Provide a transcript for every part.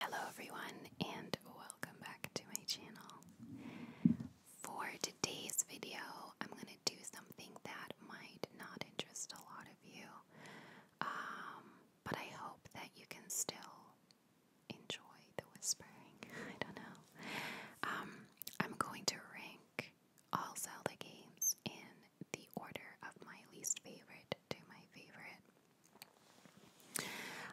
Hello, everyone, and welcome back to my channel. For today's video, I'm going to do something that might not interest a lot of you, um, but I hope that you can still enjoy the whispering. I don't know. Um, I'm going to rank all Zelda games in the order of my least favorite to my favorite.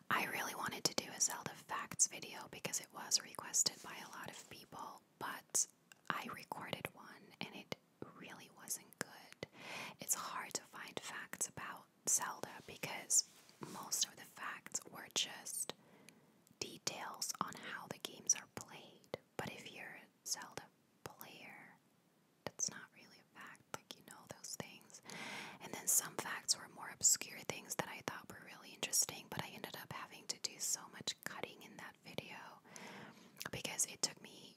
I really wanted to do a Zelda Facts video because it was requested by a lot of people, but I recorded one and it really wasn't good. It's hard to find facts about Zelda because most of the facts were just details on how the games are played, but if you're a Zelda player, that's not really a fact. Like, you know those things. And then some facts were more obscure things that I thought were really interesting, but I ended up having to do so much cutting in that video because it took me,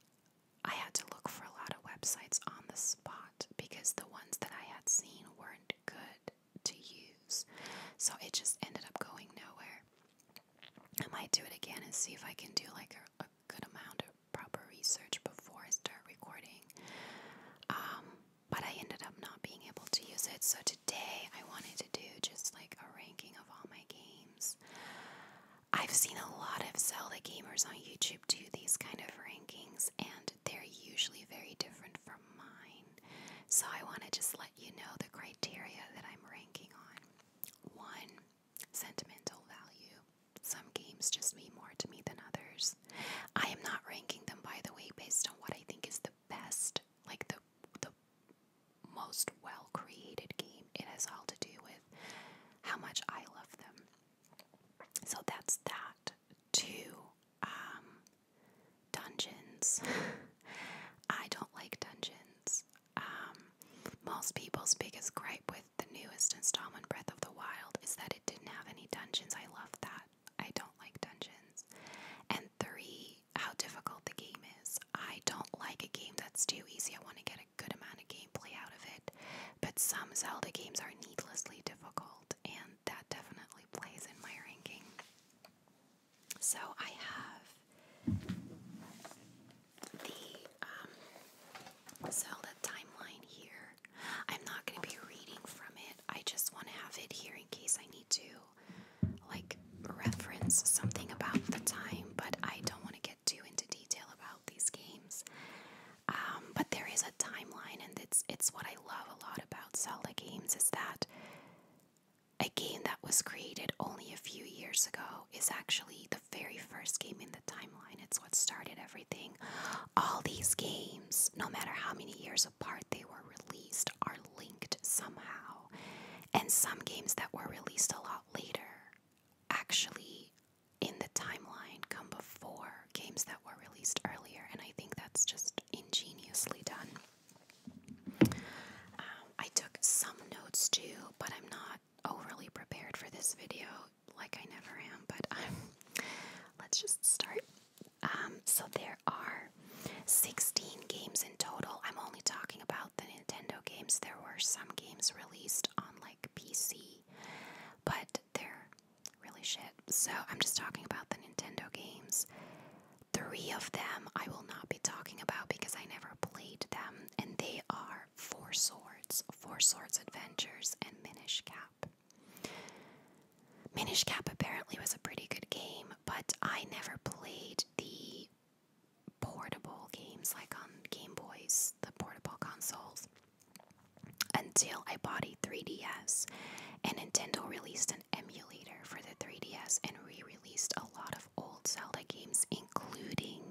I had to look for a lot of websites on the spot because the ones that I had seen weren't good to use. So it just ended up going nowhere. I might do it again and see if I can do like a, good amount of proper research before I start recording. Um, but I ended up not being able to use it, so today I wanted to do just like a ranking of all my games. I've seen a lot of Zelda gamers on YouTube do these kind of rankings, and they're usually very different from mine. So I want to just let you know the criteria that I'm ranking on. One, sentimental value. Some games just mean more to me than others. I am not ranking them, by the way, based on what I think is the best, like the the most well created game. It has all to do with how much I love them. So that's that. Two um, dungeons. I don't like dungeons. Um, most people's biggest gripe with the newest installment, Breath of the Wild, is that it didn't have any dungeons. I love that. I don't like dungeons. And three, how difficult the game is. I don't like a game that's too easy. I want to get a good amount of gameplay out of it. But some Zelda games are needlessly difficult, and that definitely plays in my ranking. So I have the Zelda um, timeline here. I'm not going to be reading from it. I just want to have it here in case I need to like reference something about the time, but I don't want to get too into detail about these games. Um, but there is a timeline, and it's it's what I love a lot about Zelda games is that a game that was created only a few years ago is actually the very first game in the timeline. It's what started everything. All these games, no matter how many years apart they were released, are linked somehow. And some games that were released a lot later actually in the timeline come before games that were released earlier. And I think that's just ingeniously done. Um, I took some notes too, but I'm not overly prepared for this video like I never am, but let's just start. Um, so there are 16 games in total. I'm only talking about the Nintendo games. There were some games released on like PC, but they're really shit. So I'm just talking about the Nintendo games. Three of them I will not be talking about because I never played them, and they are are Four Swords, Four Swords Adventures, and Minish Cap. Minish Cap apparently was a pretty good game, but I never played the portable games like on Game Boys, the portable consoles, until I bought a 3DS. And Nintendo released an emulator for the 3DS and re released a lot of old Zelda games, including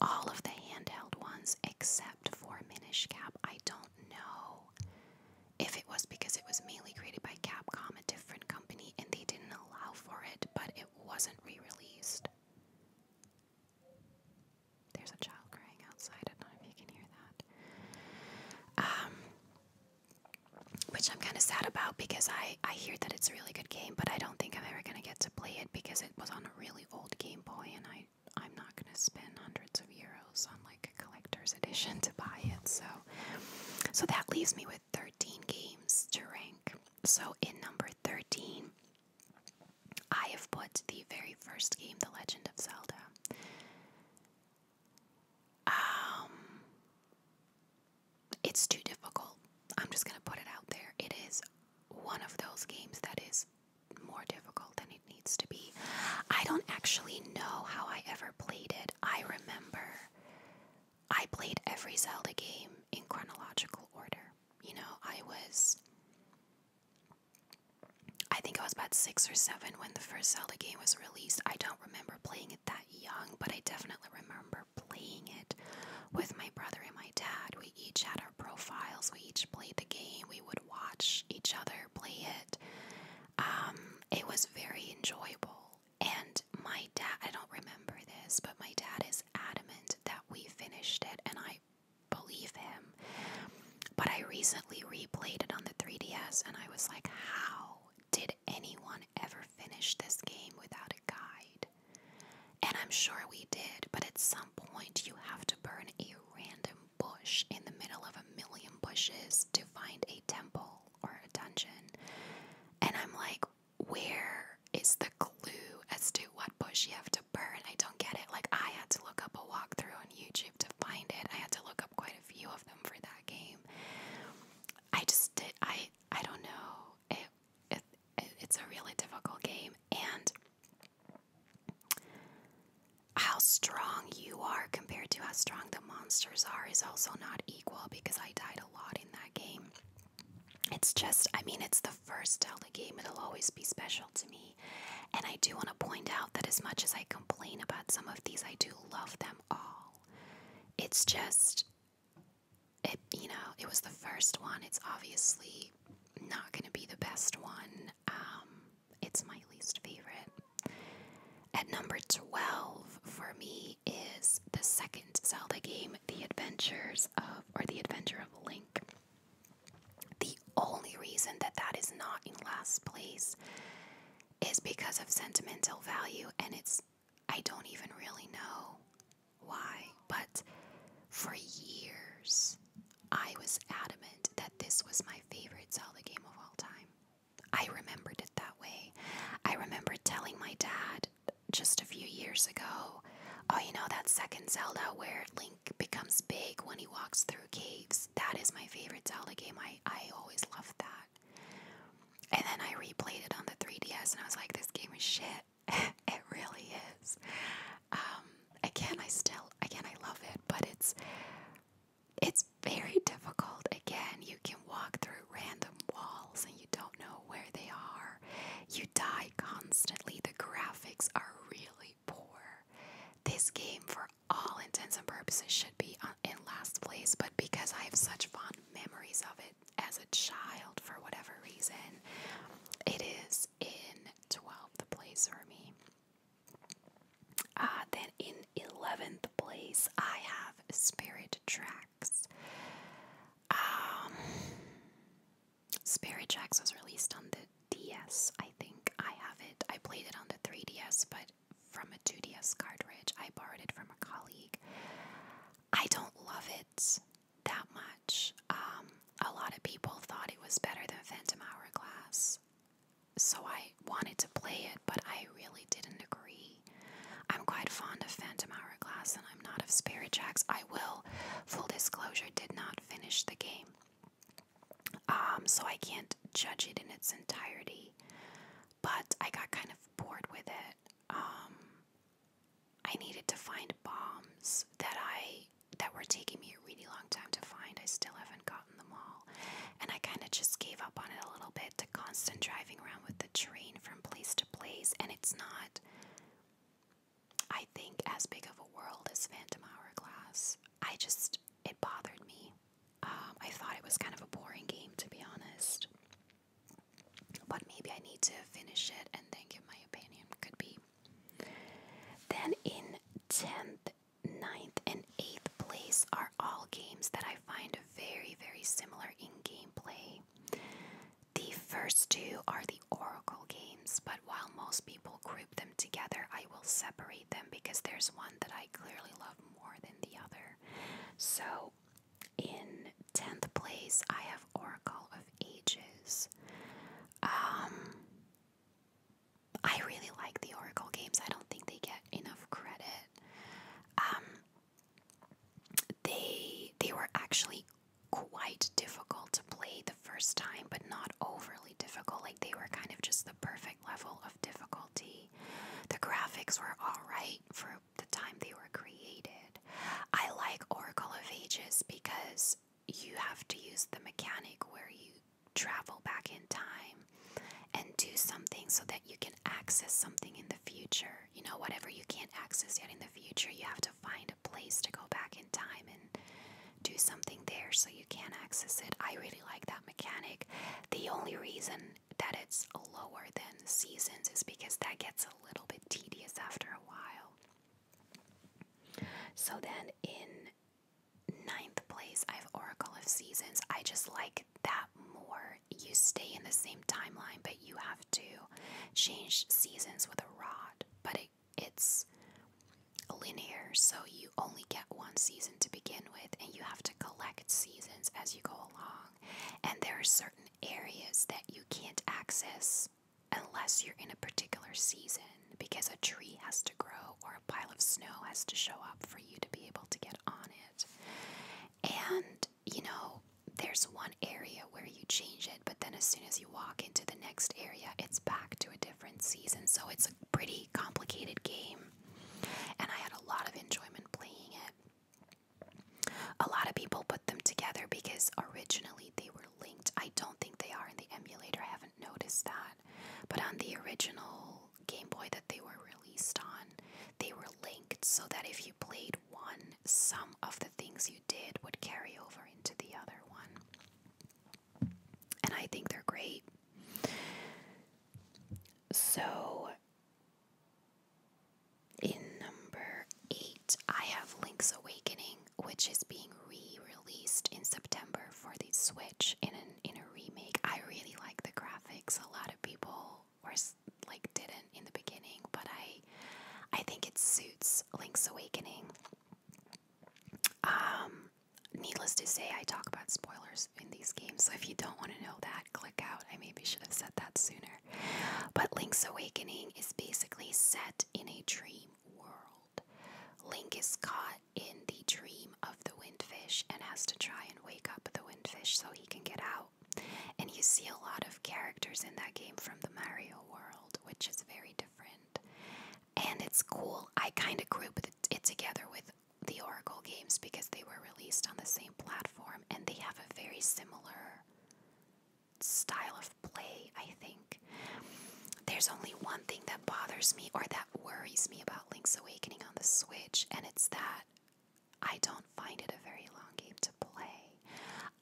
all of the handheld ones except for Minish Cap. I don't know if it was because it was mainly created by Capcom, a different company, and they didn't allow for it, but it wasn't re released. There's a child crying outside. I don't know if you can hear that. Um, which I'm kind of sad about because I I, hear that it's a really good game, but I don't think I'm ever gonna get to play it because it was on a really old Game Boy, and I I'm not gonna spend hundreds of euros on like a collector's edition to buy it. So, so that leaves me with 13 games to rank. So in number 13, I have put the very first game, The Legend of Zelda. Um, it's too difficult. I'm just going to put it out there. It is one of those games that is more difficult than it needs to be. I don't actually know how I ever played it. I remember I played every Zelda game in chronological order. You know, I was. I think I was about six or seven when the first Zelda game was released. I don't remember playing it that young, but I definitely remember playing it with my brother and my dad. We each had our profiles, we each played the game, we would watch each other play it. Um, it was very enjoyable. And my dad, I don't remember this, but my dad is adamant that we finished it, and I believe him. But I recently replayed it on the 3DS, and I was like, how did anyone ever finished this game without a guide. And I'm sure we did, but at some point you have to burn a random bush in the middle of a million bushes to find a temple or a dungeon. And I'm like, where is the clue as to what bush you have to burn? I don't get it. Like, I had to look up a walkthrough on YouTube to find it. I had to look up quite a few of them for that game. I just did. I I don't know it, it, it's a really difficult game, and how strong you are compared to how strong the monsters are is also not equal because I died a lot in that game. It's just, I mean, it's the first Zelda game, it'll always be special to me. And I do want to point out that as much as I complain about some of these, I do love them all. It's just, it you know it was the first one it's obviously not going to be the best one um, it's my least favorite at number 12 for me is the second Zelda game The Adventures of or The Adventure of Link the only reason that that is not in last place is because of sentimental value and it's I don't even really know why, but for years I was adamant that this was my favorite Zelda game of all time. I remembered it that way. I remember telling my dad just a few years ago, oh, you know, that second Zelda where Link becomes big when he walks through caves. That is my favorite Zelda game. I, I always loved that. And then I replayed it on the 3DS and I was like, this game is shit. it really is. Um, again, I still again I love it, but it's it's very difficult. Again, you can walk through random walls and you don't know where they are. You die constantly. The graphics are really poor. This game, for all intents and purposes, should be uh, in last place, but because I have such fond memories of it as a child for whatever reason, it is in 12th place for me. Uh, then in 11th place, I have Spirit Tracks. Um, Spirit Tracks was released on the DS, I think. I have it. I played it on the 3DS, but from a 2DS cartridge. I borrowed it from a colleague. I don't love it that much. Um, a lot of people thought it was better than Phantom Hourglass, so I wanted to play it, but I really didn't agree. I'm quite fond of Phantom Hourglass, and I'm not of Spirit Jacks. I will, full disclosure, did not finish the game, um, so I can't judge it in its entirety. But I got kind of bored with it. Um, I needed to find bombs that I that were taking me a really long time to find. I still haven't gotten them all. And I kind of just gave up on it a little bit, the constant driving around with the train from place to place. And it's not, I think, as big of a world as Phantom Hourglass. I just, it bothered me. Um, I thought it was kind of a boring game, to be honest. But maybe I need to finish it and then give my opinion. Could be. Then in 10th, 9th, and 8th place are all games that I find very, very similar in gameplay. The first two are the Oracle games, but while most people group them together, I will separate them because there's one that I clearly love more than the other. So in 10th place, I have Oracle of Ages. Um, I really like the Oracle games. I don't think they get enough credit. Um, they they were actually quite difficult to play the first time, but not overly difficult. Like they were kind of just the perfect level of difficulty. The graphics were all right for the time they were created. I like Oracle of Ages because you have to use the mechanic where you travel back in time and do something so that you can access something in the future. You know, whatever you can't access yet in the future, you have to find a place to go back in time and do something there so you can access it. I really like that mechanic. The only reason that it's lower than seasons is because that gets a little bit tedious after a while. So then in ninth place, I have Oracle of Seasons. I just like that more. You stay in the same timeline, but you have to change seasons with a rod. But it's linear, so you only get one season to begin with, and you have to collect seasons as you go along and there are certain areas that you can't access unless you're in a particular season because a tree has to grow or a pile of snow has to show up for you to be able to get on it. And, you know, there's one area where you change it, but then as soon as you walk into the next area, it's back to a different season. So it's a pretty complicated game. And I had a lot of enjoyment playing it a lot of people put them together because originally they were linked. I don't think they are in the emulator, I haven't noticed that. But on the original Game Boy that they were released on, they were linked so that if you played one, some of the things you did would carry over into the other one. And I think they're great. So in number eight, I have Link's Awakening, which is being re-released in September for the Switch in an, in a remake. I really like the graphics. A lot of people were like didn't in the beginning, but I I think it suits Link's Awakening. Um, needless to say, I talk about spoilers in these games, so if you don't want to know that, click out. I maybe should have said that sooner. But Link's awakening is basically set in a dream world. Link is caught in the dream of the windfish and has to try and wake up the windfish so he can get out. And you see a lot of characters in that game from the Mario world, which is very different. And it's cool. I kind of group it together with the Oracle games because they were released on the same platform and they have a very similar style of play, I think. There's only one thing that bothers me or that worries me about Link's Awakening on the Switch, and it's that I don't find it a very long game to play.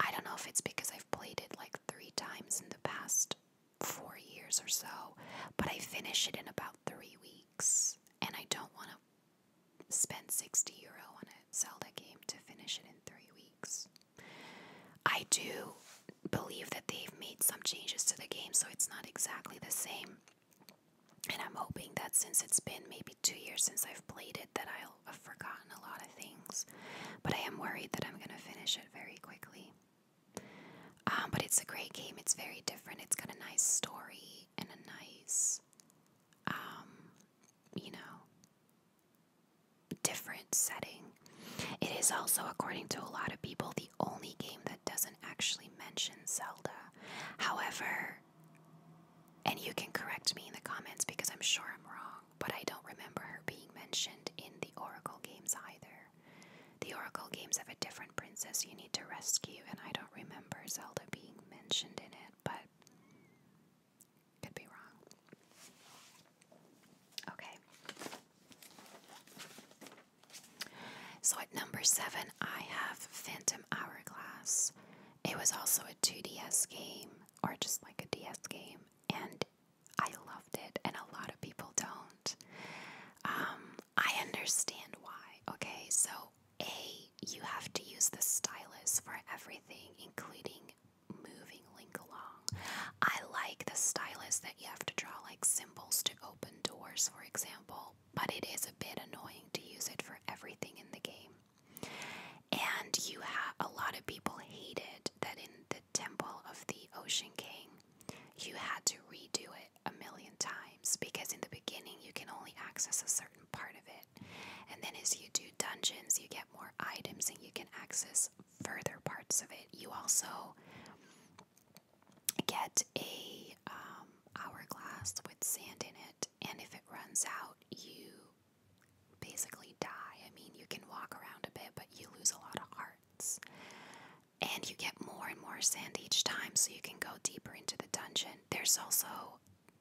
I don't know if it's because I've played it like three times in the past four years or so, but I finish it in about three weeks, and I don't want to spend 60 euro on a Zelda game to finish it in three weeks. I do believe that they've made some changes to the game, so it's not exactly the same. And I'm hoping that since it's been maybe two years since I've played it, that I'll have forgotten a lot of things. But I am worried that I'm going to finish it very quickly. Um, but it's a great game. It's very different. It's got a nice story and a nice um, you know, different setting. It is also, according to a lot of people, the only game that doesn't actually mention Zelda. However, and you can correct me in the comments because I'm sure I'm wrong, but I don't remember her being mentioned in the Oracle games either. The Oracle games have a different princess you need to rescue, and I don't remember Zelda being mentioned in it, but could be wrong. Okay. So at number seven, I have Phantom Hourglass. It was also a 2DS game, or just like a DS game, and I loved it, and a lot of people don't. Um, I understand why. Okay, so a you have to use the stylus for everything, including moving Link along. I like the stylus that you have to draw like symbols to open doors, for example, but it is a bit annoying to use it for everything in the game. And you have a lot of people hated that in the Temple of the Ocean King, you had to redo it a million times because in the beginning you can only access a certain part of it and then as you do dungeons, you get more items and you can access further parts of it. You also get a um, hourglass with sand in it, and if it runs out, you basically die. I mean, you can walk around a bit, but you lose a lot of hearts. And you get more and more sand each time, so you can go deeper into the dungeon. There's also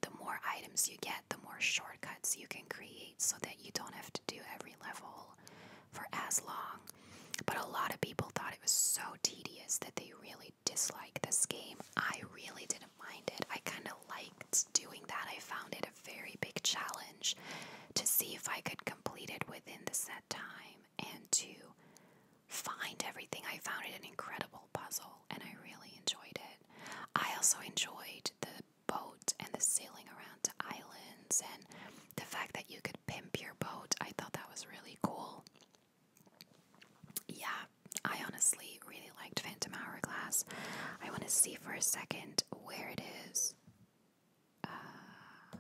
the more items you get, the more shortcuts you can create so that you don't have to do every level for as long. But a lot of people thought it was so tedious that they really disliked this game. I really didn't mind it. I kind of liked doing that. I found it a very big challenge to see if I could complete it within the set time and to find everything. I found it an incredible puzzle and I really enjoyed it. I also enjoyed the boat and the sailing around islands and the fact that you could pimp your boat. I thought that was really cool. Yeah, I honestly really liked Phantom Hourglass. I want to see for a second where it is. Uh,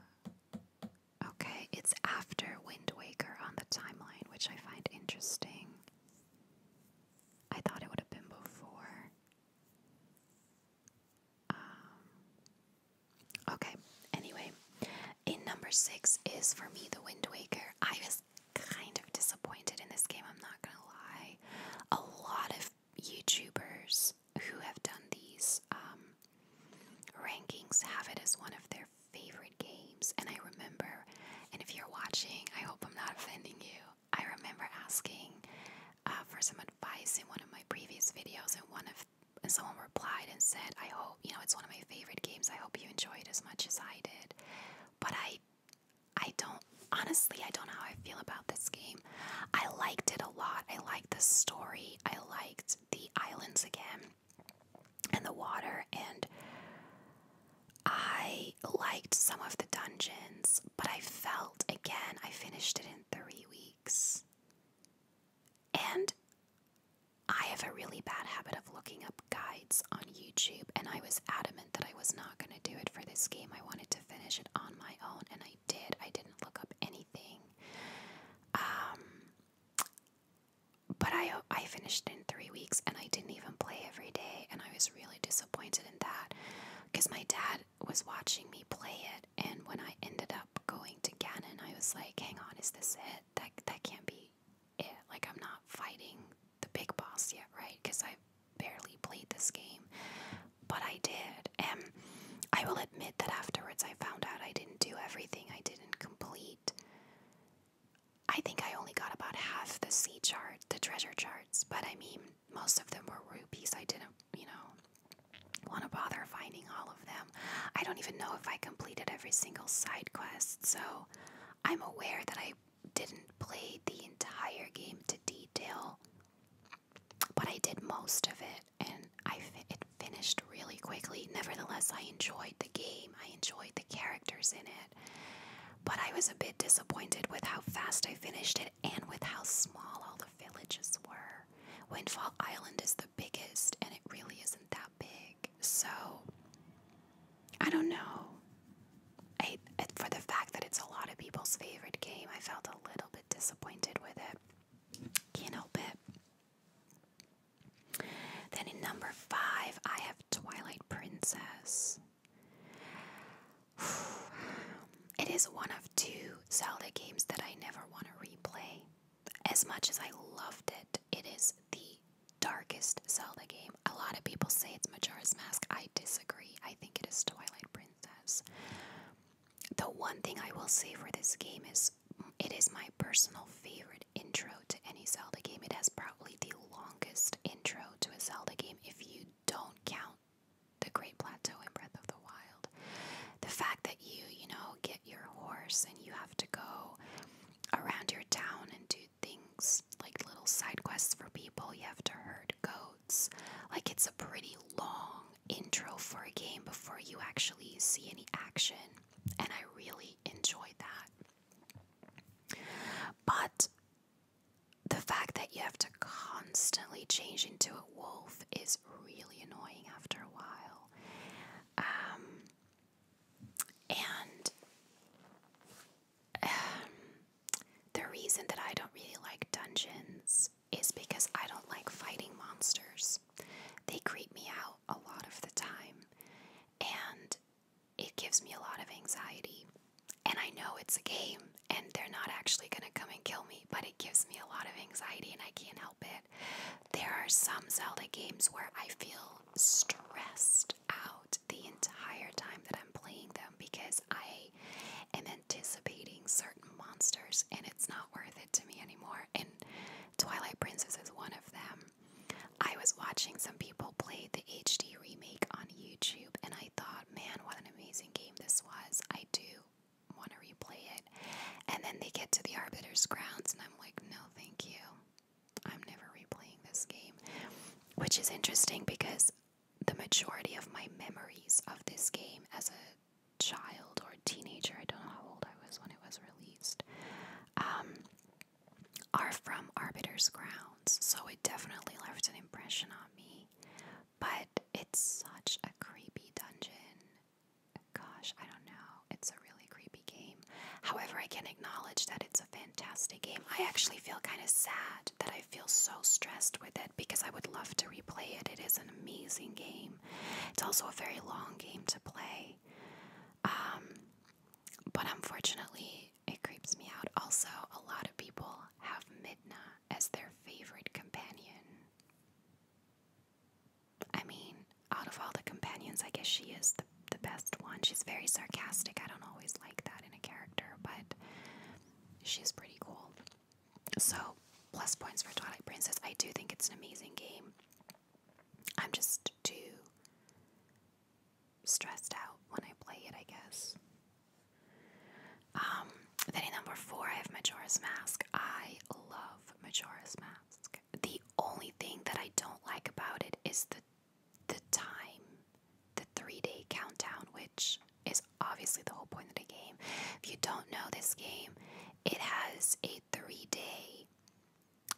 okay, it's after Wind Waker on the timeline, which I find interesting. I thought it would have been before. Um, okay, anyway, in number six is for me The Wind Waker. I was kind of disappointed in this game, I'm not gonna lie. A lot of YouTubers who have done these um, rankings have it as one of their favorite games, and I remember. And if you're watching, I hope I'm not offending you. I remember asking uh, for some advice in one of my previous videos, and one of someone replied and said, "I hope you know it's one of my favorite games. I hope you enjoyed as much as I did." But I, I don't honestly. I don't know how I feel about this game. I liked it a lot. I liked the story. I liked the islands again, and the water, and I liked some of the dungeons, but I felt again I finished it in three weeks. And I have a really bad habit of looking up guides on YouTube, and I was adamant that I was not going to do it for this game. I wanted to finish it on my own, and I did. I didn't look up anything. Um, but I, I finished in three weeks, and I didn't even play every day, and I was was really disappointed in that because my dad was watching me play it, and when I ended up going to Ganon, I was like, "Hang on, is this it? That that can't be it. Like I'm not fighting the big boss yet, right? Because I barely played this game, but I did." And I will admit that afterwards, I found out I didn't do everything. I didn't complete I think I only got about half the sea chart, the treasure charts, but I mean, most of them were rupees. I didn't, you know, want to bother finding all of them. I don't even know if I completed every single side quest, so I'm aware that I didn't play the entire game to detail, but I did most of it, and I it finished really quickly. Nevertheless, I enjoyed the game. I enjoyed the characters in it. But I was a bit disappointed with how fast I finished it and with how small all the villages were. Windfall Island is the biggest, and it really isn't that big. So, I don't know. for the fact that it's a lot of people's favorite game, I felt a little bit disappointed with it. Can't help it. Then in number five, I have Twilight Princess. It is one of two Zelda games that I never want to replay. As much as I loved it, it is the darkest Zelda game. A lot of people say it's Majora's Mask. I disagree. I think it is Twilight Princess. The one thing I will say for this game is it is my personal favorite intro to any Zelda game. It has probably the longest intro to a Zelda game if you don't count the Great Plateau in Breath of the Wild. The fact that you, you know, get your horse and you have to go around your town and do things like little side quests for people, you have to herd goats. Like it's a pretty long intro for a game before you actually see any action, and I really enjoyed that. But the fact that you have to constantly change into a wolf is really annoying after a while. Um, and um, the reason that I don't really like dungeons is because I don't like fighting monsters. They creep me out a lot of the time. And it gives me a lot of anxiety. And I know it's a game and they're not actually going to come and kill me, but it gives me a lot of anxiety and I can't help it. There are some Zelda games where I feel stressed out the entire time that I'm playing them because I am anticipating certain monsters and it's not worth it to me anymore. And Twilight Princess is one of them. I was watching some people play the HD remake on and I thought, man, what an amazing game this was. I do want to replay it. And then they get to the Arbiter's Grounds and I'm like, no, thank you. I'm never replaying this game. Which is interesting because the majority of my memories of this game as a child or teenager, I don't know how old I was when it was released, um, are from Arbiter's grounds, so it definitely left an impression on me. But it's such a creepy dungeon. Gosh, I don't know. It's a really creepy game. However, I can acknowledge that it's a fantastic game. I actually feel kind of sad that I feel so stressed with it because I would love to replay it. It is an amazing game. It's also a very long game to play. Um, but unfortunately, it creeps me out. Also, a lot of people have Midna as their favorite companion. I mean, out of all the companions, I guess she is the, the best one. She's very sarcastic. I don't always like that in a character, but she's pretty cool. So, plus points for Twilight Princess. I do think it's an amazing game. I'm just too stressed out when I play it, I guess. Um, then number four, I have Majora's Mask. I love Majora's Mask. The only thing that I don't like about it is the the time, the three day countdown, which is obviously the whole point of the game. If you don't know this game, it has a three day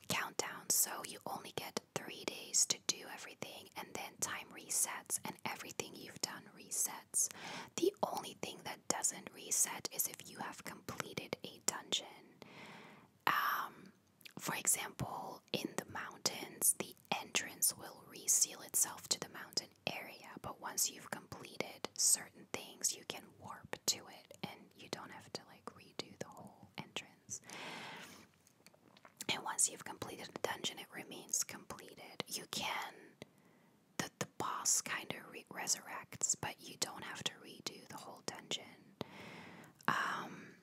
countdown, so you only get three days to do everything, and then time resets, and everything you've done resets. The only thing that doesn't reset is if you have completed a dungeon. Um, for example, in the mountains, the entrance will reseal itself to the mountain area, but once you've completed certain things, you can warp to it and you don't have to like redo the whole entrance. And once you've completed the dungeon, it remains completed. You can, the, the boss kind of resurrects, but you don't have to redo the whole dungeon. Um,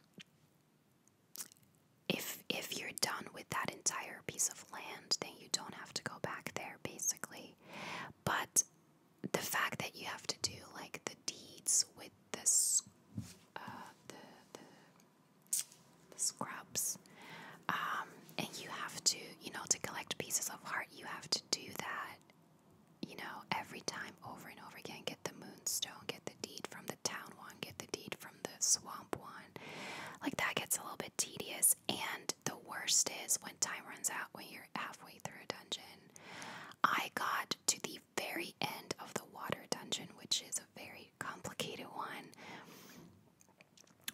if if you're done with that entire piece of land, then you don't have to go back there, basically. But the fact that you have to do like the deeds with this, uh, the the scrubs. Um, and you have to, you know, to collect pieces of art, you have to do that, you know, every time over and over again. Get the moonstone, get the deed from the town one, get the deed from the swamp one. Like that gets a little bit tedious. And the worst is when time runs out when you're halfway through a dungeon. I got to the very end of the water dungeon, which is a very complicated one.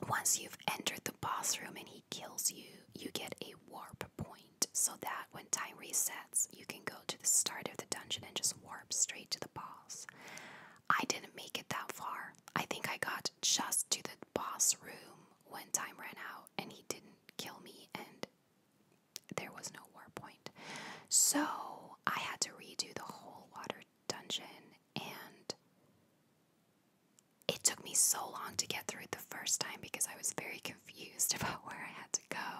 Once you've entered the boss room and he kills you, you get a warp point so that when time resets, you can go to the start of the dungeon and just warp straight to the boss. I didn't make it that far. I think I got just to the boss room when time ran out and he didn't kill me and there was no no So I had to redo the whole water dungeon, and it took me so long to get through it the first time because I was very confused about where I had to go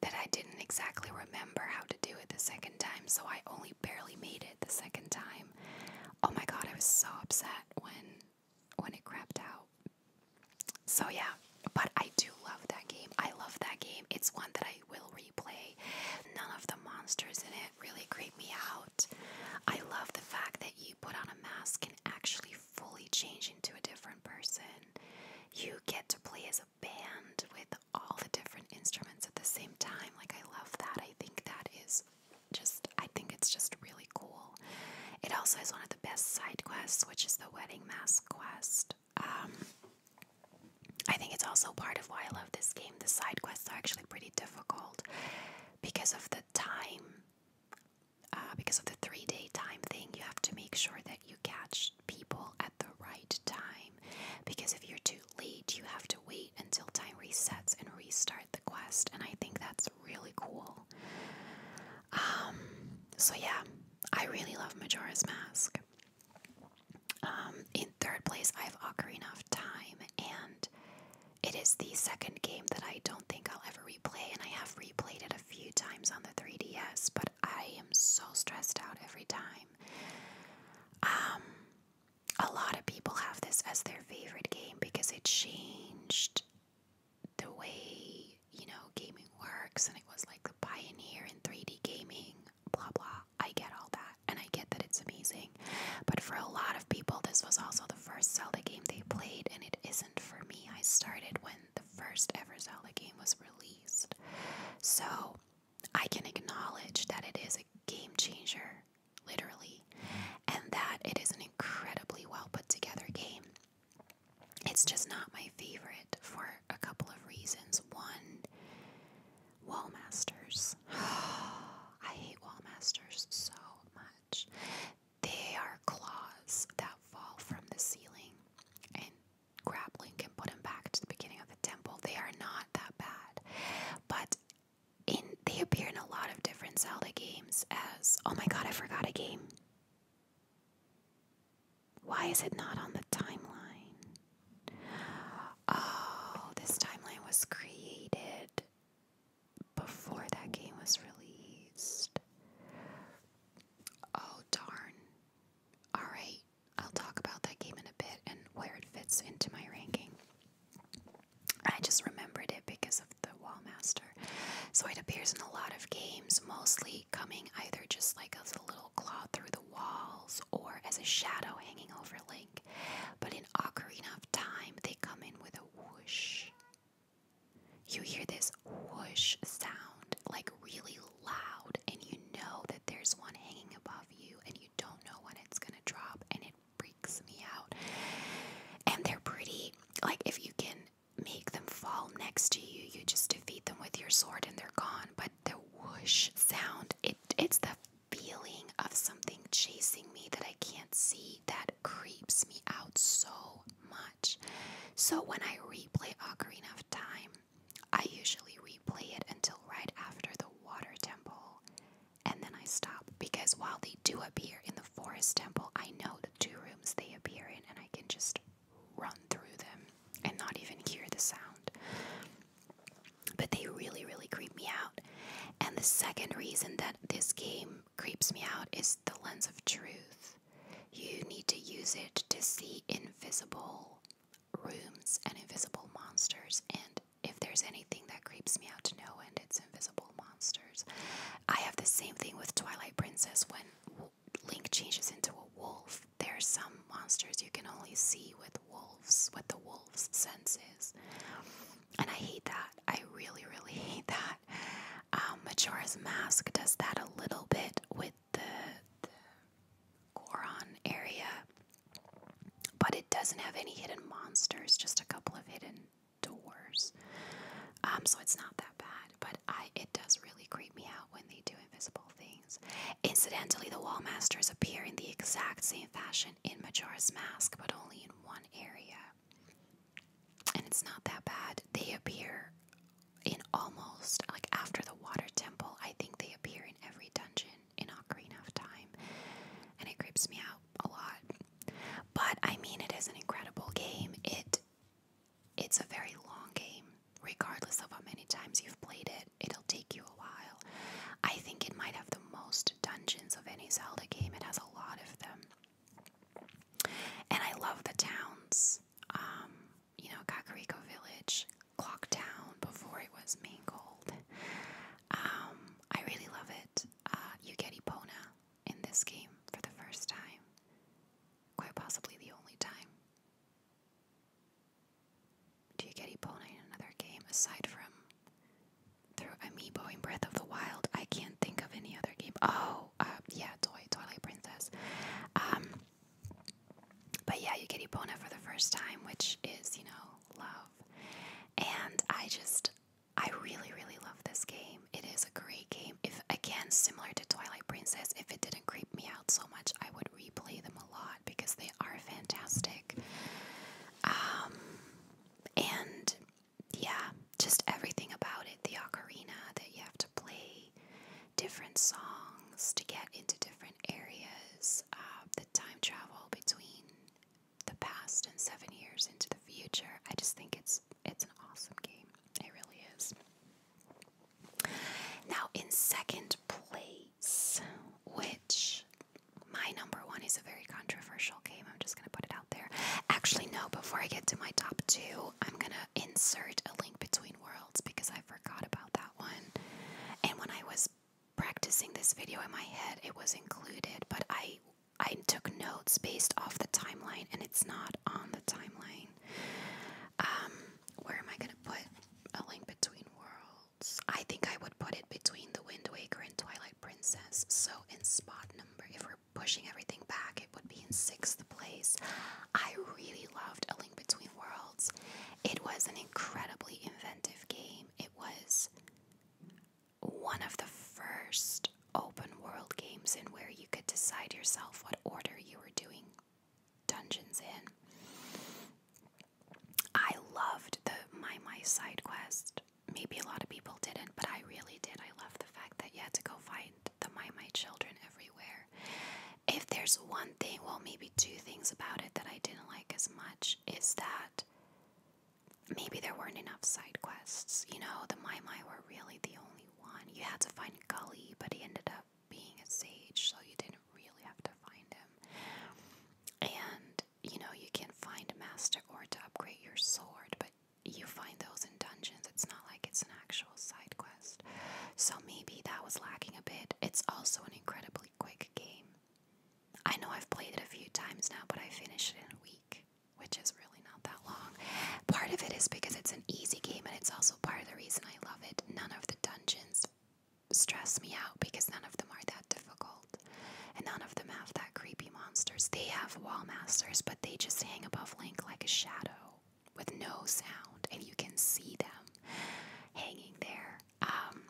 that I didn't exactly remember how to do it the second time, so I only barely made it the second time. Oh my god, I was so upset when when it crapped out. So yeah, but I do love that game. I love that game. It's one that I will replay. None of the monsters in it really creep me out. I love the fact that you put on a mask and actually fully change into a different person. You get to play as a band with all the different instruments at the same time. Like, I love that. I think that is just, I think it's just really cool. It also is one of the best side quests, which is the wedding mask quest. Um, I think it's also part of why I love this game. The side quests are actually pretty difficult because of the time, uh, because of the three day time thing. You have to make sure that you catch people at the right time because if you're too late, you have to wait until time resets and restart the quest. And I think that's really cool. Um, so, yeah, I really love Majora's Mask. Um, in third place, I have Ocarina of Time, and it is the second game that I don't think I'll ever replay, and I have replayed it a few times on the 3DS, but I am so stressed out every time. Um, a lot of people have this as their favorite game because it changed the way you know gaming works, and it was like the pioneer in 3D gaming blah blah. I get all that and I get that it's amazing. But for a lot of people, this was also the first Zelda game they played, and it isn't for me. I started when the first ever Zelda game was released. So I can acknowledge that it is a game changer, literally, and that it is an incredibly well put together game. It's just not my favorite for a couple of reasons. One, Wallmasters. I hate Wallmasters so much. They are claws that fall from the ceiling, and grab Link put him back to the beginning of the temple. They are not that bad, but in they appear in a lot of different Zelda games. As oh my god, I forgot a game. Why is it not on the timeline? Oh, this timeline was created before that game was released. Oh, darn. Alright, I'll talk about that game in a bit and where it fits into my ranking. I just remembered it because of the Wallmaster. So it appears in a lot of games, mostly coming either just like as a little claw through the walls or as a shadow hanging over Link, but in Ocarina enough Time, they come in with a whoosh. You hear this whoosh sound, like really loud, and you know that there's one hanging above you, and you don't know when it's gonna drop, and it freaks me out. And they're pretty, like, if you can make them fall next to you, you just defeat them with your sword and they're gone. But the whoosh sound. It it's the feeling of something chasing me that I can't see that creeps me out so much. So when I replay Ocarina of Time, I usually replay it until right after the water temple and then I stop because while they do appear in the forest temple, I know the two rooms they appear in and I can just run through them and not even hear the sound. But they really, really creep me out. And the second reason that this game creeps me out is the lens of truth. You need to use it to see invisible rooms and invisible monsters. And if there's anything that creeps me out to know, and it's invisible monsters. I have the same thing with Twilight Princess when Link changes into a wolf. There are some monsters you can only see with wolves, with the wolf's senses. And I hate that. I really, really hate that. Um, Majora's Mask does that a little bit with the, the Goron area, but it doesn't have any hidden monsters, just a couple of hidden doors. Um, so it's not that bad, but I it does really creep me out when they do invisible things. Incidentally, the wall masters appear in the exact same fashion in Majora's Mask, but only in one area. And it's not that bad. They appear in almost like after the water temple, I think they appear in every dungeon in Ocarina of Time. And it creeps me out a lot. But I mean it is an incredible game. It it's a very long game regardless of how many times you've played it, it'll take you a while. I think it might have the most dungeons of any Zelda game, it has a lot of them. And I love the towns. Um, you know, Kakariko Village, Clock Town, before it was Mangold. Um, I really love it. Uh, you get Ipona in this game for the first time. Quite possibly the only time. Do you get Epona in another game aside from through Amiibo in Breath of the Wild? I can't think of any other game. Oh, uh, yeah, Toy Twilight Princess. Um, but yeah, you get Epona for the first time, which is you know love, and I just I really really love this game. It is a great game. If again similar to Twilight Princess, if it didn't creep me out so much, I would replay them a lot because they are fantastic. Um, and yeah, just everything about it the ocarina that you have to play different songs to get into different areas, uh, the time travel between the past and seven years into the future. I just think it's it's an awesome game. It really is. Now, in second place, which my number one is a very controversial game, I'm just gonna put it out there. Actually, no, before I get to my top two, I'm gonna insert a link between worlds because I forgot about that one. And when I was practicing this video in my head, it was included, but I I took notes based off the timeline, and it's not on the timeline. Um, where am I going to put A Link Between Worlds? I think I would put it between The Wind Waker and Twilight Princess. So in spot number, if we're pushing everything back, it would be in sixth place. I really loved A Link Between Worlds. It was an incredibly inventive game. It was one of the first open world games in where you could decide yourself what order you were doing dungeons in. I loved the My My side quest. Maybe a lot of people didn't, but I really did. I loved the fact that you had to go find the My My children everywhere. If there's one thing, well, maybe two things about it that I didn't like as much, is that maybe there weren't enough side quests. You know, the My My were really the only one. You had to find Gully, but he ended up being a sage, so you didn't really have to find him. And you know, you can find a master or to upgrade your sword, but you find those in dungeons. It's not like it's an actual side quest. So maybe that was lacking a bit. It's also an incredibly quick game. I know I've played it a few times now, but I finished it in a week, which is really not that long. Part of it is because it's an easy game, and it's also part of the reason I love it. None of the dungeons stress me out because none of them are that difficult. And none of them have that creepy monsters. They have wall masters, but they just hang above Link like a shadow with no sound, and you can see them hanging there. Um,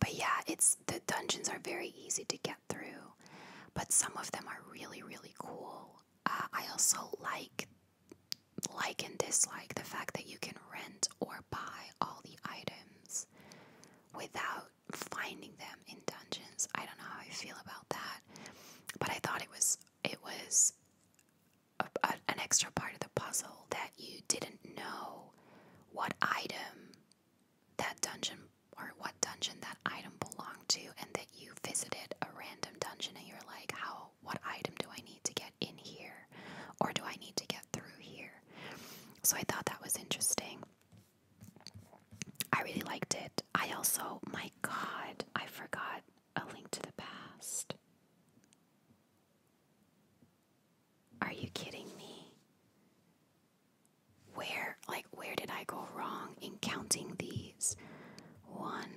but yeah, it's the dungeons are very easy to get through, but some of them are really, really cool. Uh, I also like like and dislike the fact that you can rent or buy all the items without finding them in dungeons. I don't know how I feel about that, but I thought it was it was an extra part of the puzzle that you didn't know what item that dungeon or what dungeon that item belonged to, and that you visited a random dungeon and you're like, how what item do I need to get in here or do I need to get through here. So I thought that was interesting. I really liked it. I also, my god, I forgot a link to the past. Are you kidding me? Where, like, where did I go wrong in counting these? One,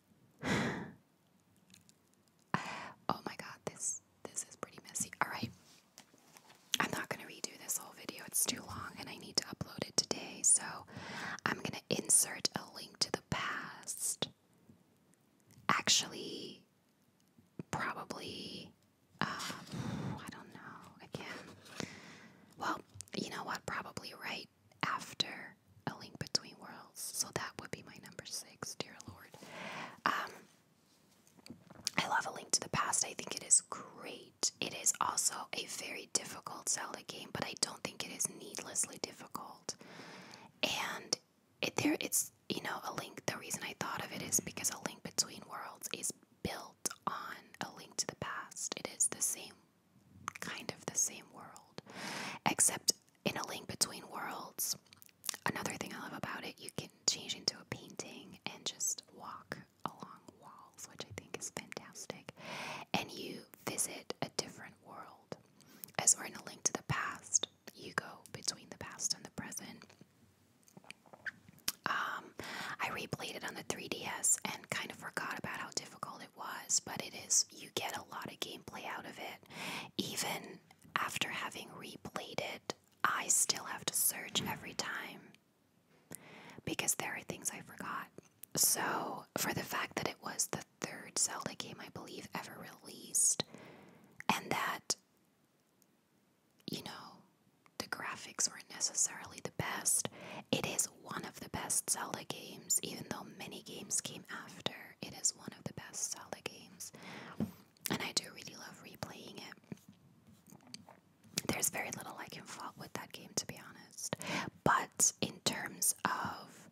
oh my god, this this is pretty messy. Alright. I'm not gonna redo this whole video, it's too long and I need to upload it today, so I'm gonna insert a link to the past. Actually, probably um, I don't know again. Well, you know what? Probably right after a link between worlds. So that would be my number six, dear Lord. Um, I love A Link to the Past. I think it is great. It is also a very difficult Zelda game, but I don't think it is needlessly difficult. And there, it's you know a link. The reason I thought of it is because A Link Between Worlds is built on A Link to the Past. It is the same kind of the same world, except in A Link Between Worlds, Another thing I love about it, you can change into a painting and just walk along walls, which I think is fantastic. And you visit a different world. As we're in a link to the past, you go between the past and the present. Um, I replayed it on the 3DS and kind of forgot about how difficult it was, but it is, you get a lot of gameplay out of it. Even after having replayed it, I still have to search every time because there are things I forgot. So, for the fact that it was the third Zelda game I believe ever released, and that, you know, the graphics weren't necessarily the best, it is one of the best Zelda games, even though many games came after. It is one of the best Zelda games and I do really love replaying it. There's very little I can fault with that game, to be honest. But in terms of,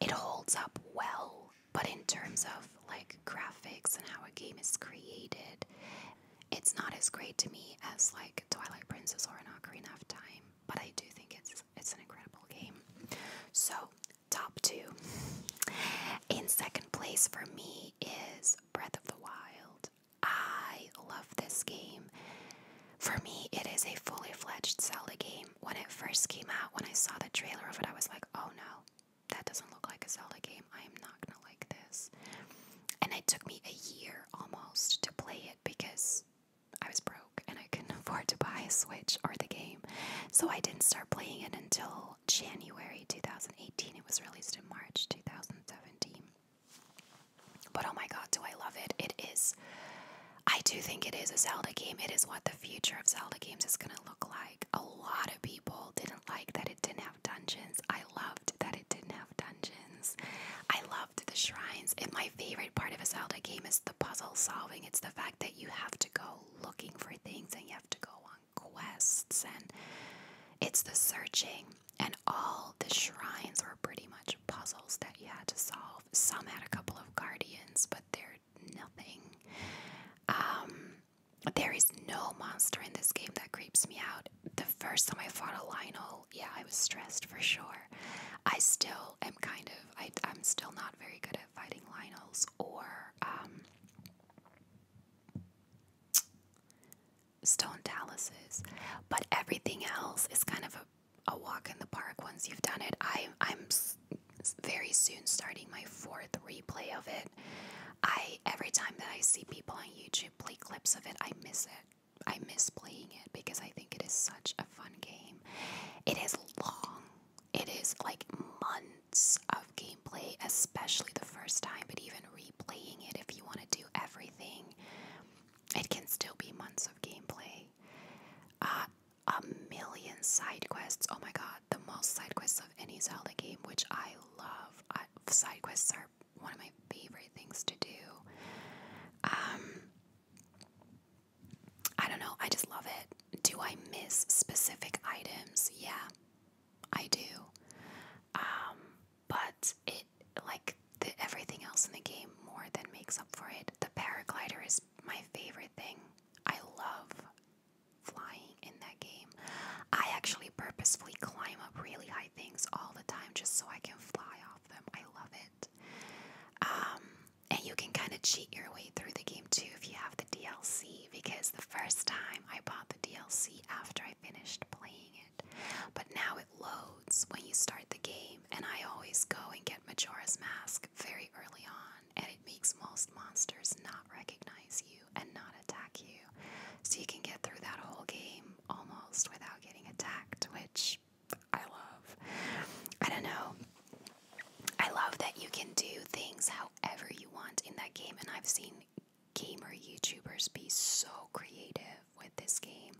it holds up well. But in terms of like graphics and how a game is created, it's not as great to me as like Twilight Princess or an Ocarina of Time. But I do think it's it's an incredible game. So top two. In second place for me is Breath of the Wild. I love this game. For me, it is a fully fledged Zelda game. When it first came out, when I saw the trailer of it, I was like, oh no, that doesn't look like a Zelda game. I am not gonna like this. And it took me a year almost to play it because I was broke and I couldn't afford to buy a Switch or the game. So I didn't start playing it until January 2018. It was released in March 2017. But oh my god, do I love it! It is, I do think it is a Zelda game. It is what the future of Zelda games is going to look like. A lot of people didn't like that it didn't have dungeons. I loved that it didn't have dungeons. I loved the shrines, and my favorite part of a Zelda game is the puzzle solving. It's the fact that you have to go looking for things and you have to go on quests, and it's the searching. And all the shrines were pretty much puzzles that you had to solve. Some had a couple of guardians, but they're nothing. Um, there is no monster in this game that creeps me out. The first time I fought a Lionel yeah, I was stressed for sure. I still am kind of, I, I'm still not very good at fighting Lionels or um, stone Talises, but everything else is kind of a walk in the park once you've done it. I, I'm very soon starting my fourth replay of it. I every time that I see people on YouTube play clips of it, I miss it. I miss playing it because I think it is such a fun game. It is long. It is like months of gameplay, especially the first time, but even replaying it if you want to do everything, it can still be months of gameplay. Uh, a million side quests. Oh my god, the most side quests of any Zelda game, which I love. side quests are one of my favorite things to do. Um, I don't know, I just love it. Do I miss specific items? Yeah, I do. Um, but it, like everything else in the game, more than makes up for it. The paraglider is my favorite thing. I love flying in that game. I actually purposefully climb up really high things all the time just so I can fly I love it. Um, and you can kind of cheat your way through the game too if you have the DLC, because the first time I bought the DLC after I finished playing it, but now it loads when you start the game, and I always go and get Majora's Mask very early on, and it makes most monsters not recognize you and not attack you. So you can get through that whole game almost without getting attacked, which I love. I don't know. I love that you can do things however you want in that game, and I've seen gamer YouTubers be so creative with this game.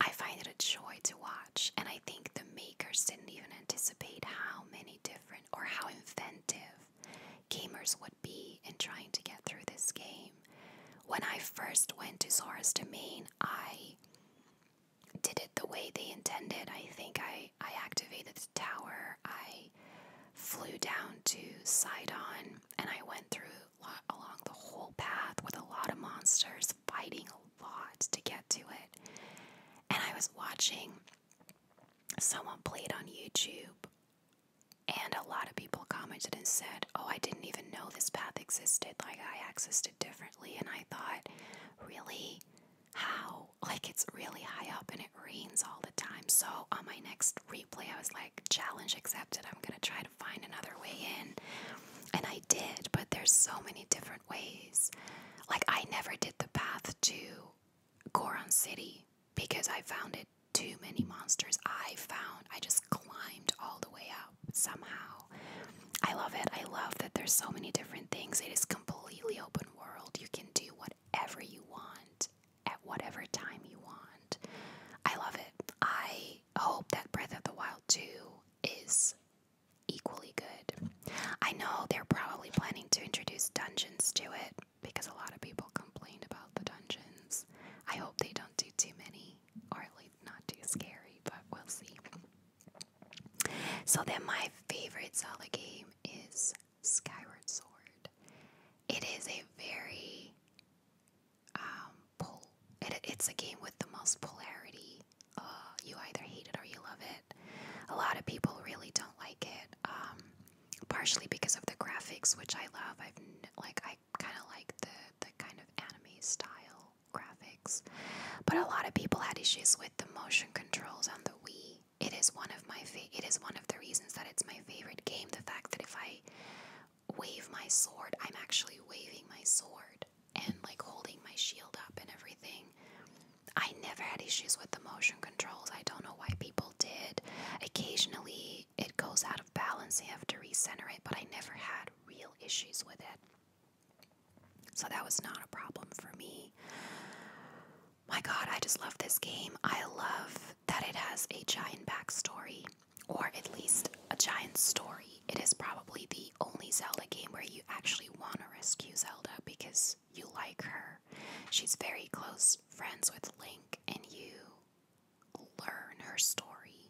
I find it a joy to watch, and I think the makers didn't even anticipate how many different or how inventive gamers would be in trying to get through this game. When I first went to Zora's Domain, I did it the way they intended. I think I, I activated the tower. I flew down to Sidon and I went through lot, along the whole path with a lot of monsters fighting a lot to get to it. And I was watching someone played on YouTube and a lot of people commented and said, "Oh, I didn't even know this path existed. Like I accessed differently. And I thought, really? How? Like, it's really high up and it rains all the time. So, on my next replay, I was like, challenge accepted. I'm going to try to find another way in. And I did, but there's so many different ways. Like, I never did the path to Goron City because I found it too many monsters. I found I just climbed all the way out somehow. I love it. I love that there's so many different things. It is completely open world. You can do whatever you want at whatever time you want. I love it. I hope that Breath of the Wild 2 is equally good. I know they're probably planning to introduce dungeons to it because a lot of people complained about the dungeons. I hope they don't do too many, or at least not too scary, but we'll see. So then my favorite Zelda game is Skyward Sword. It is a very um pull it, it's a game with the most polarity. Uh, you either hate it or you love it. A lot of people really don't like it. Um partially because of the graphics, which I love. I've like I kind of like the the kind of anime style graphics. But a lot of people had issues with the motion controls on the Wii. It is one of my favorite. it is one of the reasons that it's my favorite game. The fact that if I wave my sword, I'm actually waving my sword and like holding my shield up and everything. I never had issues with the motion controls. I don't know why people did. Occasionally it goes out of balance, they have to recenter it, but I never had real issues with it. So that was not a problem for me. My god, I just love this game. I love that it has a giant backstory, or at least a giant story. It is probably the only Zelda game where you actually want to rescue Zelda because you like her. She's very close friends with Link, and you learn her story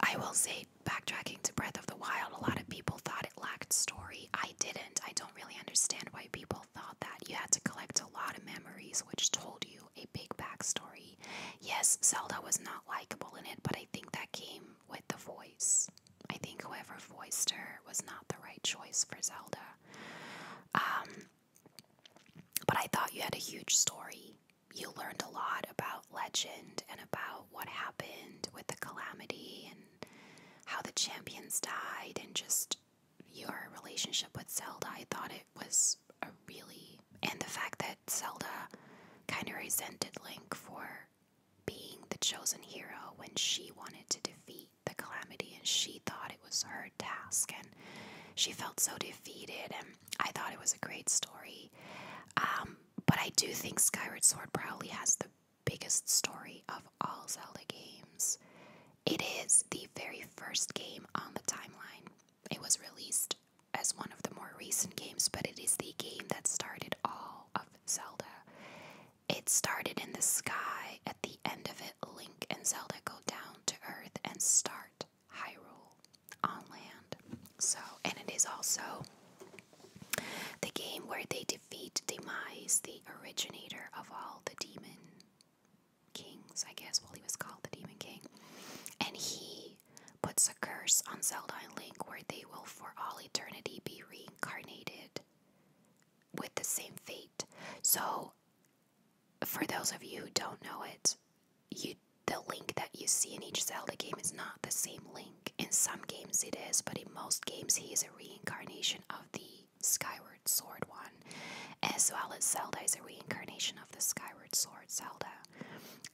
I will say, backtracking to Breath of the Wild, a lot of people thought it lacked story. I didn't. I don't really understand why people thought that. You had to collect a lot of memories, which told you a big backstory. Yes, Zelda was not likable in it, but I think that came with the voice. I think whoever voiced her was not the right choice for Zelda. Um, but I thought you had a huge story you learned a lot about legend and about what happened with the calamity and how the champions died and just your relationship with Zelda. I thought it was a really and the fact that Zelda kind of resented Link for being the chosen hero when she wanted to defeat the calamity and she thought it was her task and she felt so defeated and I thought it was a great story. Um, but I do think Skyward Sword probably has the biggest story of all Zelda games. It is the very first game on the timeline. It was released as one of the more recent games, but it is the game that started all of Zelda. It started in the sky. At the end of it, Link and Zelda go down to Earth and start Hyrule on land. So, and it is also the game where they defeat Demise, the originator of all the demon kings, I guess. Well, he was called the Demon King. And he puts a curse on Zelda and Link where they will for all eternity be reincarnated with the same fate. So, for those of you who don't know it, you the link that you see in each Zelda game is not the same link. In some games it is, but in most games he is a reincarnation of the Skyward Sword one, as well as Zelda is a reincarnation of the Skyward Sword Zelda,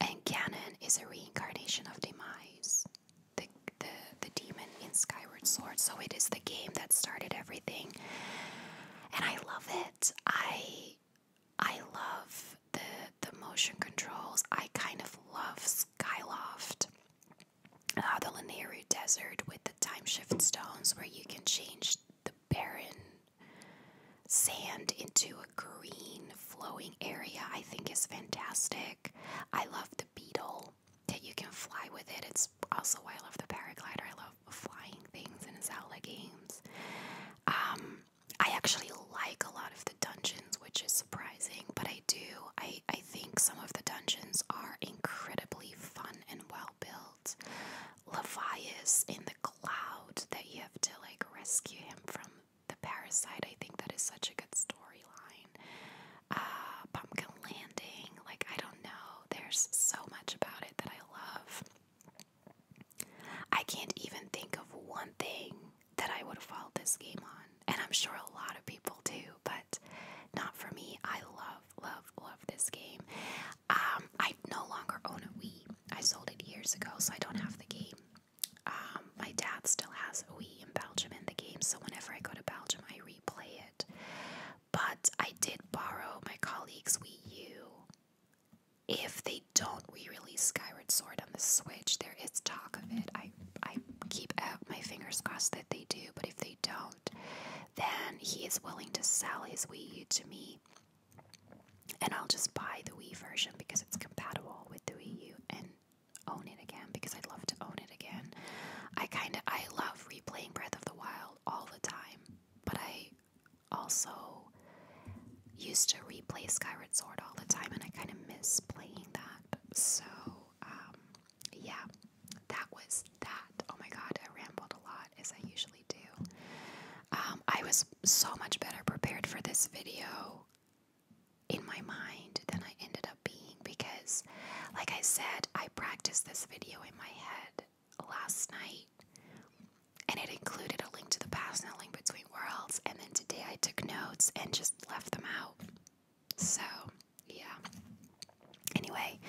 and Ganon is a reincarnation of Demise, the the the demon in Skyward Sword. So it is the game that started everything, and I love it. I I love the the motion controls. I kind of love Skyloft, uh, the Linear Desert with the time shift stones, where you can change the barren sand into a green flowing area. I think is fantastic. I love the beetle that you can fly with it. It's also why I love the paraglider. I love flying things in Zelda games. Um, I actually like a lot of the dungeons, which is surprising, but I do. I, I think some of the dungeons are incredibly fun and well built. Levias in the cloud that you have to like rescue him from the parasite. I think that is such a good storyline. Uh, Pumpkin Landing, like I don't know. There's so much about it that I love. I can't even think of one thing that I would have followed this game on. And I'm sure a lot of people do, but not for me. I love, love, love this game. Um, I no longer own a Wii. I sold it years ago, so I don't have the game. Um, my dad still has a Wii in Belgium in the game, so whenever I go to Belgium, I replay it. But I did borrow my colleague's Wii U if they don't re-release Skyward Sword on the Switch, there is talk of it. I I keep out my fingers crossed that they do, but if they don't, then he is willing to sell his Wii U to me. And I'll just buy the Wii version because it's compatible with the Wii U and own it again because I'd love to own it again. I kinda I love replaying Breath of the Wild all the time, but I also used to replay Skyward Sword all the time, and I kind of miss playing that. So, um, yeah, that was that. Oh my god, I rambled a lot as I usually do. Um, I was so much better prepared for this video in my mind than I ended up being because, like I said, I practiced this video in my head last night and it included a link to the past and a link between worlds. And then today I took notes and just left them out. So, yeah. Anyway,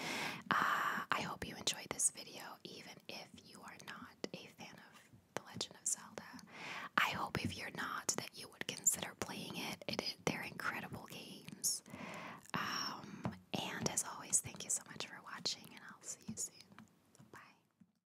uh, I hope you enjoyed this video, even if you are not a fan of The Legend of Zelda. I hope if you're not, that you would consider playing it. it, they're incredible games. Um, and as always, thank you so much for watching, and I'll see you soon. Bye.